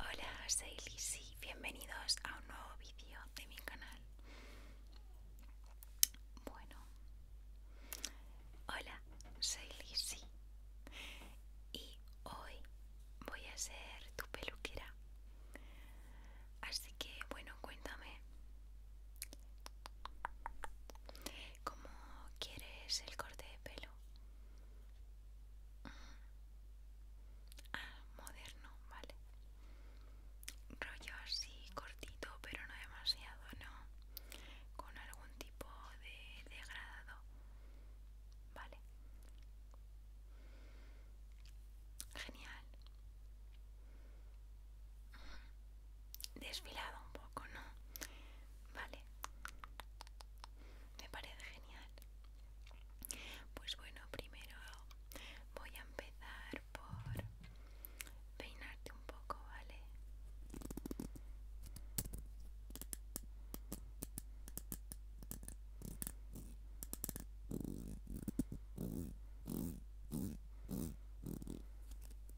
Hola, soy Lizzy, bienvenidos a un nuevo vídeo de mi canal. Bueno, hola, soy Lizzy y hoy voy a ser tu peluquera. Así que, bueno, cuéntame ¿Cómo quieres el corte de pelo? Mm. Ah, moderno, vale. Rollo así cortito, pero no demasiado, ¿no? Con algún tipo de degradado. Vale. Genial desfilado un poco, ¿no? Vale. Me parece genial. Pues bueno, primero voy a empezar por peinarte un poco, ¿vale?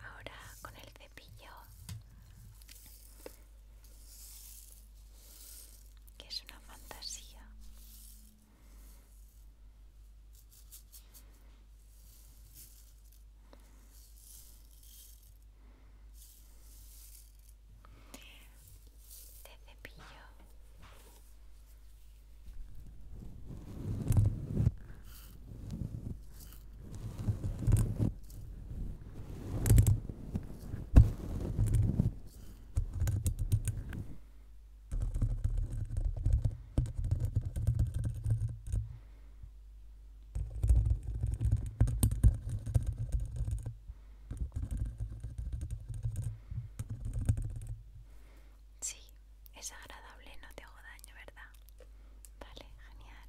Ahora con el cepillo que es una fantasía de cepillo Sí, es agradable, no te hago daño, ¿verdad? Vale, genial.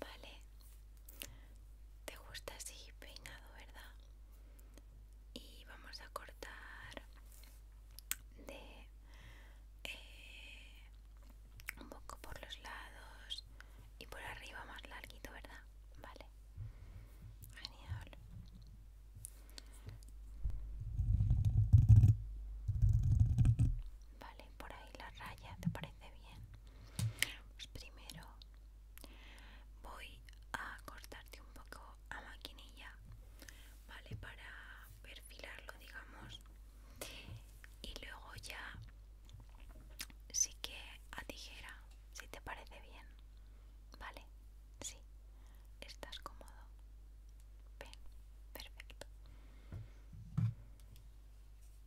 Vale, te gusta así peinado, ¿verdad? Y vamos a cortar de eh, un poco por los lados y por arriba más larguito, ¿verdad? Vale, genial. Vale, por ahí la raya, ¿te parece bien? Pues primero voy a cortarte un poco a maquinilla, ¿vale? Para perfilarlo, digamos. Y luego ya sí que a tijera, si te parece bien. ¿Vale? Sí. ¿Estás cómodo? Bien, perfecto.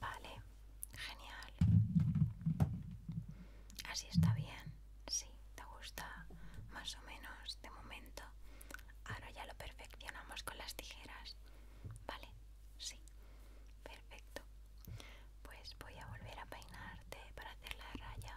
Vale, genial. Así está bien. Sí, te gusta más o menos de momento. Ahora ya lo perfeccionamos con las tijeras. Vale, sí. Perfecto. Pues voy a volver a peinarte para hacer la raya.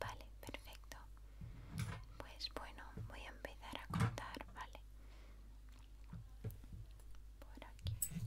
Vale, perfecto. Pues bueno, voy a empezar a contar, ¿vale? Por aquí.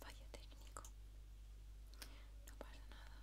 Fallo técnico. No pasa nada.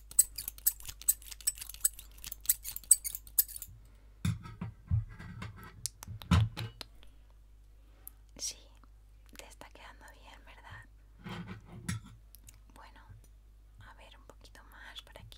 Sí, te está quedando bien, ¿verdad? Bueno, a ver un poquito más por aquí.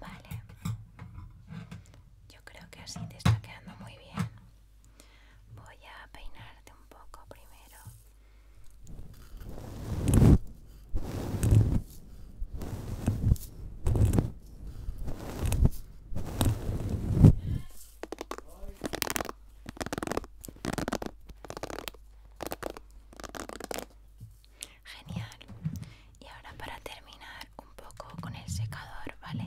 Vale. Yo creo que así te está quedando muy bien. Voy a peinarte un poco primero. Genial. Y ahora para terminar un poco con el secador, ¿vale?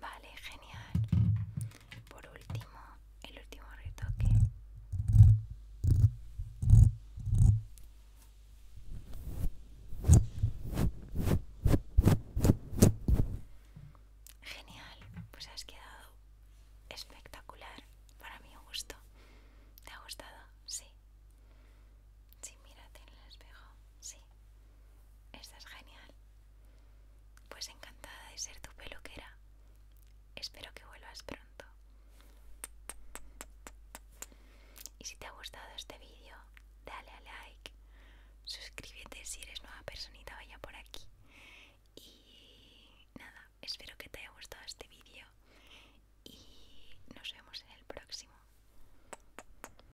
Vale, genial. Por último, el último retoque. Genial, pues has quedado espectacular para mi gusto. ¿Te ha gustado? Sí. Sí, mírate en el espejo. Sí. es genial. Pues encantada de ser tu peluquera. Espero que vuelvas pronto. Y si te ha gustado este vídeo, dale a like, suscríbete si eres nueva personita, vaya por aquí. Y nada, espero que te haya gustado este vídeo y nos vemos en el próximo.